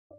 Donard.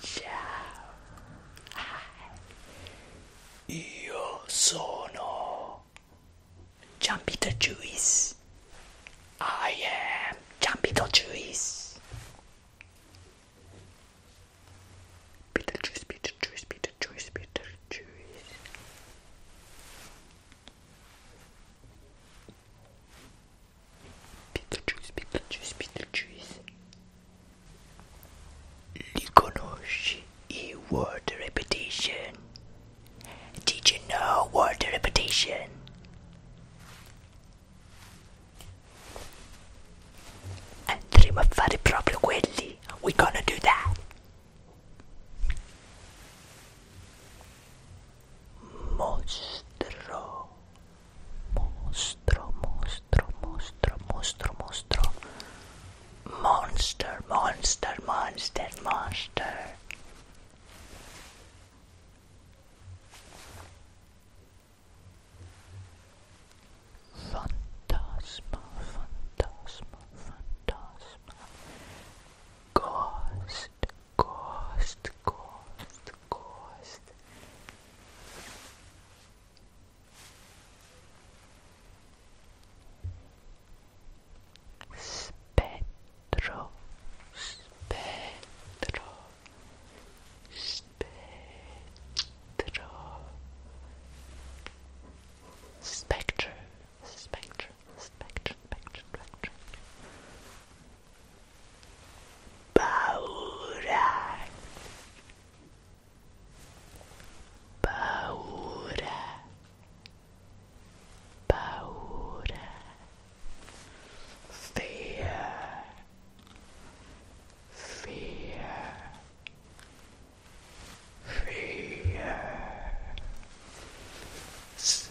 Ciao. Hi. Io sono Giampito Juice. I am Giampito Juice. Peter Juice, Peter Juice, Peter Juice, Peter Juice. Beetlejuice, Beetlejuice, Beetlejuice. Lyconosh, he wore the reputation. Did you know what the reputation? Andremo a fare proprio quelli. We're gonna do that. Monster, monster, monster, monster, mostro, mostro. Monster, monster, monster, monster. Fantasma, fantasma, fantasma. Ghost, Ghost, ghost, ghost. Spectro, spectro, spectro, spectre, spectre, spectrum, spectrum, spectrum, Paura. Paura. Paura. Fear. Fear. Fear. Fear.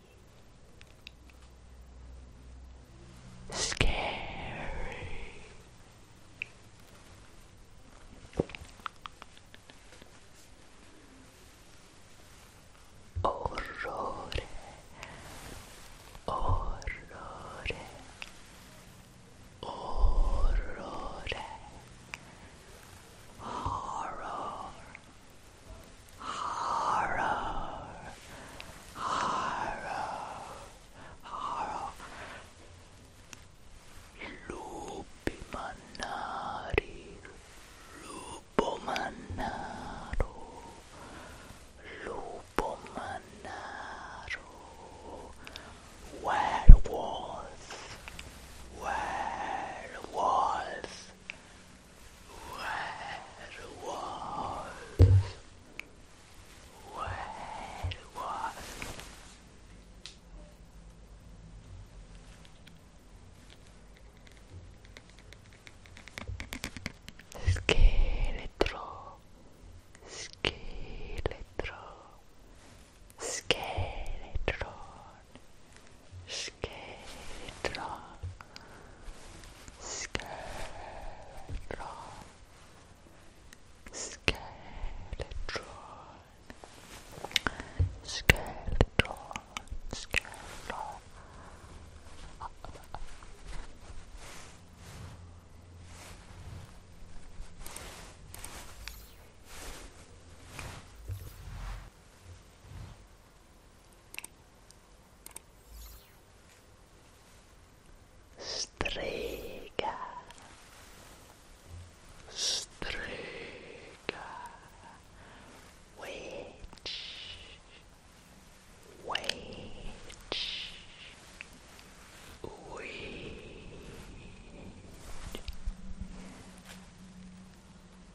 Scary. Orrore. Orrore. Orrore. Horror. Horror. Horror. Horror. Lupi manari. Lupo manaro. Lupo manaro. Werewolf. Werewolf. Scheletro, scheletro, scheletron, scheletron. Skeletron. Skeletron. Skeletron. Skeletron. Strega, Strega, Witch, Witch,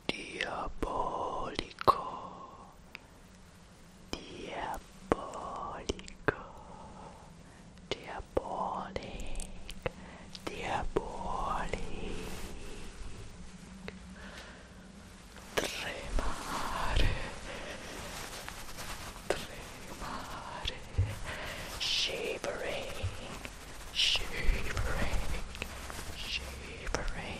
Diabolico. Diabolico, diabolic, diabolic. Tremare, tremare, shivering, shivering, shivering.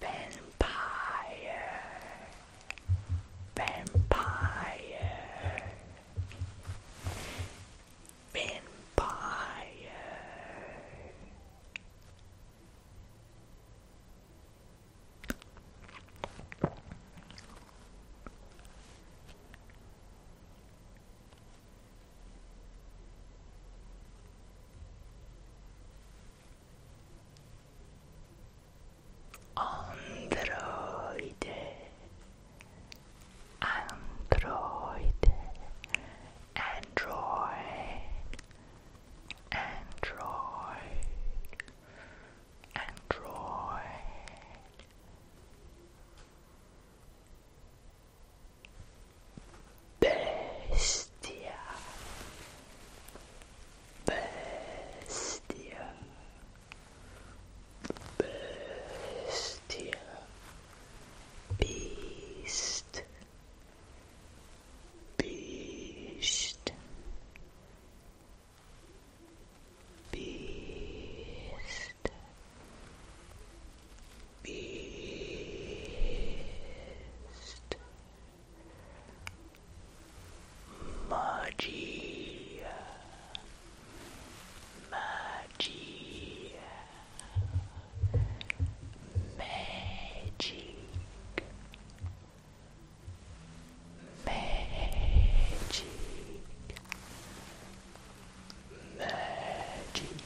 Vampire. Vampire. Vampire androide android android android android bestia Bestia. Bestia. Beast. Beast. Beast. Beast. Magia. Magia. Magic. Magic. Magic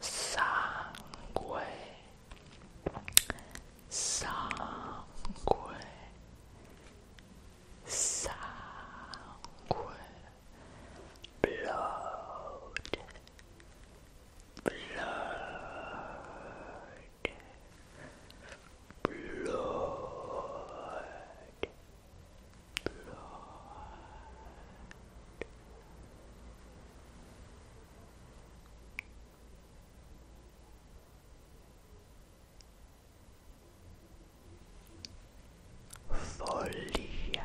sangue sangue sangue blood blood blood, blood. Folia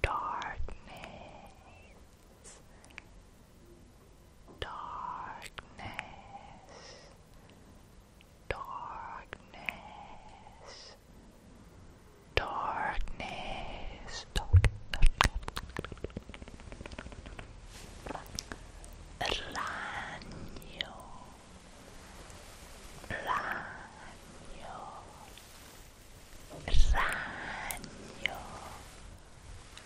darkness, darkness, darkness, darkness, darkness, Raño, raño,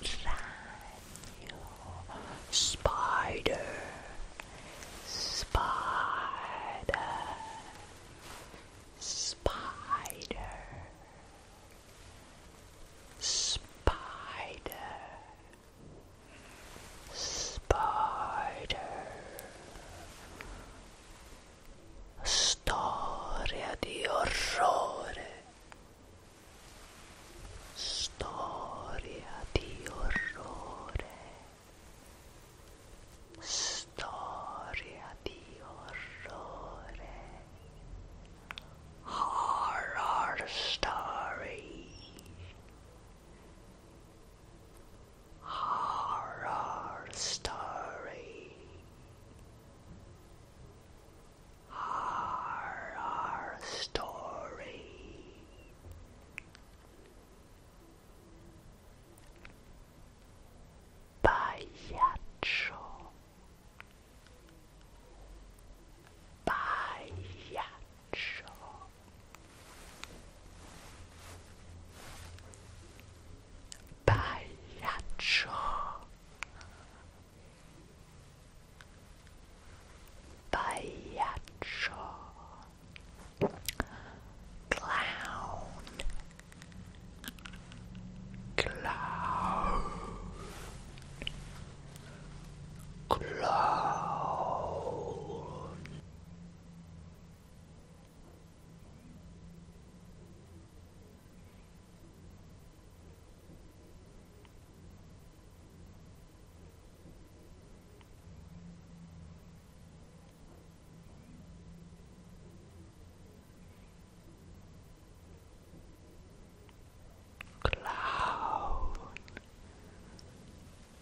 raño, spider, spider, spider, spider. Spider Storia di orrore Story di orrore Storia di orrore Horror story Horror story. Horror story. Payacho. Payacho jaw. Payacho. Payacho. Clown. Clown. Clown. Clown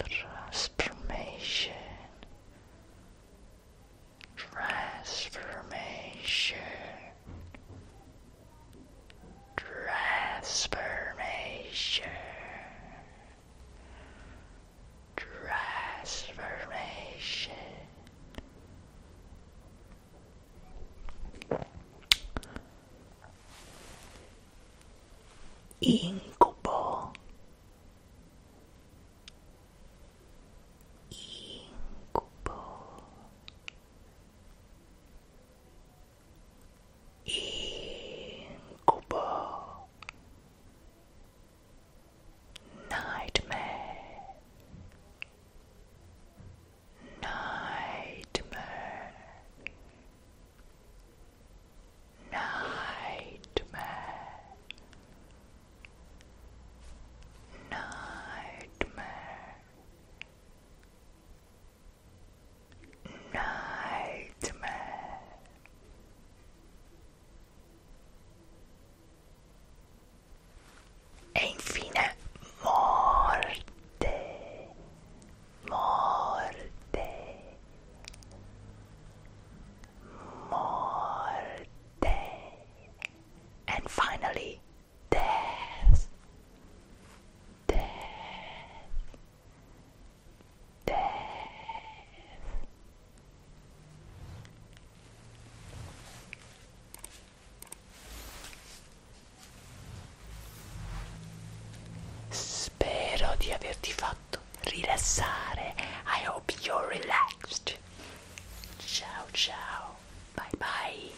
transformation, transformation, transformation, transformation incubo incubo incubo nightmare Nightmare, nightmare, nightmare, nightmare. E infine morte, morte morte and finally death death death Spero di averti fatto rilassare. I hope you're relaxed. Ciao ciao. Bye bye.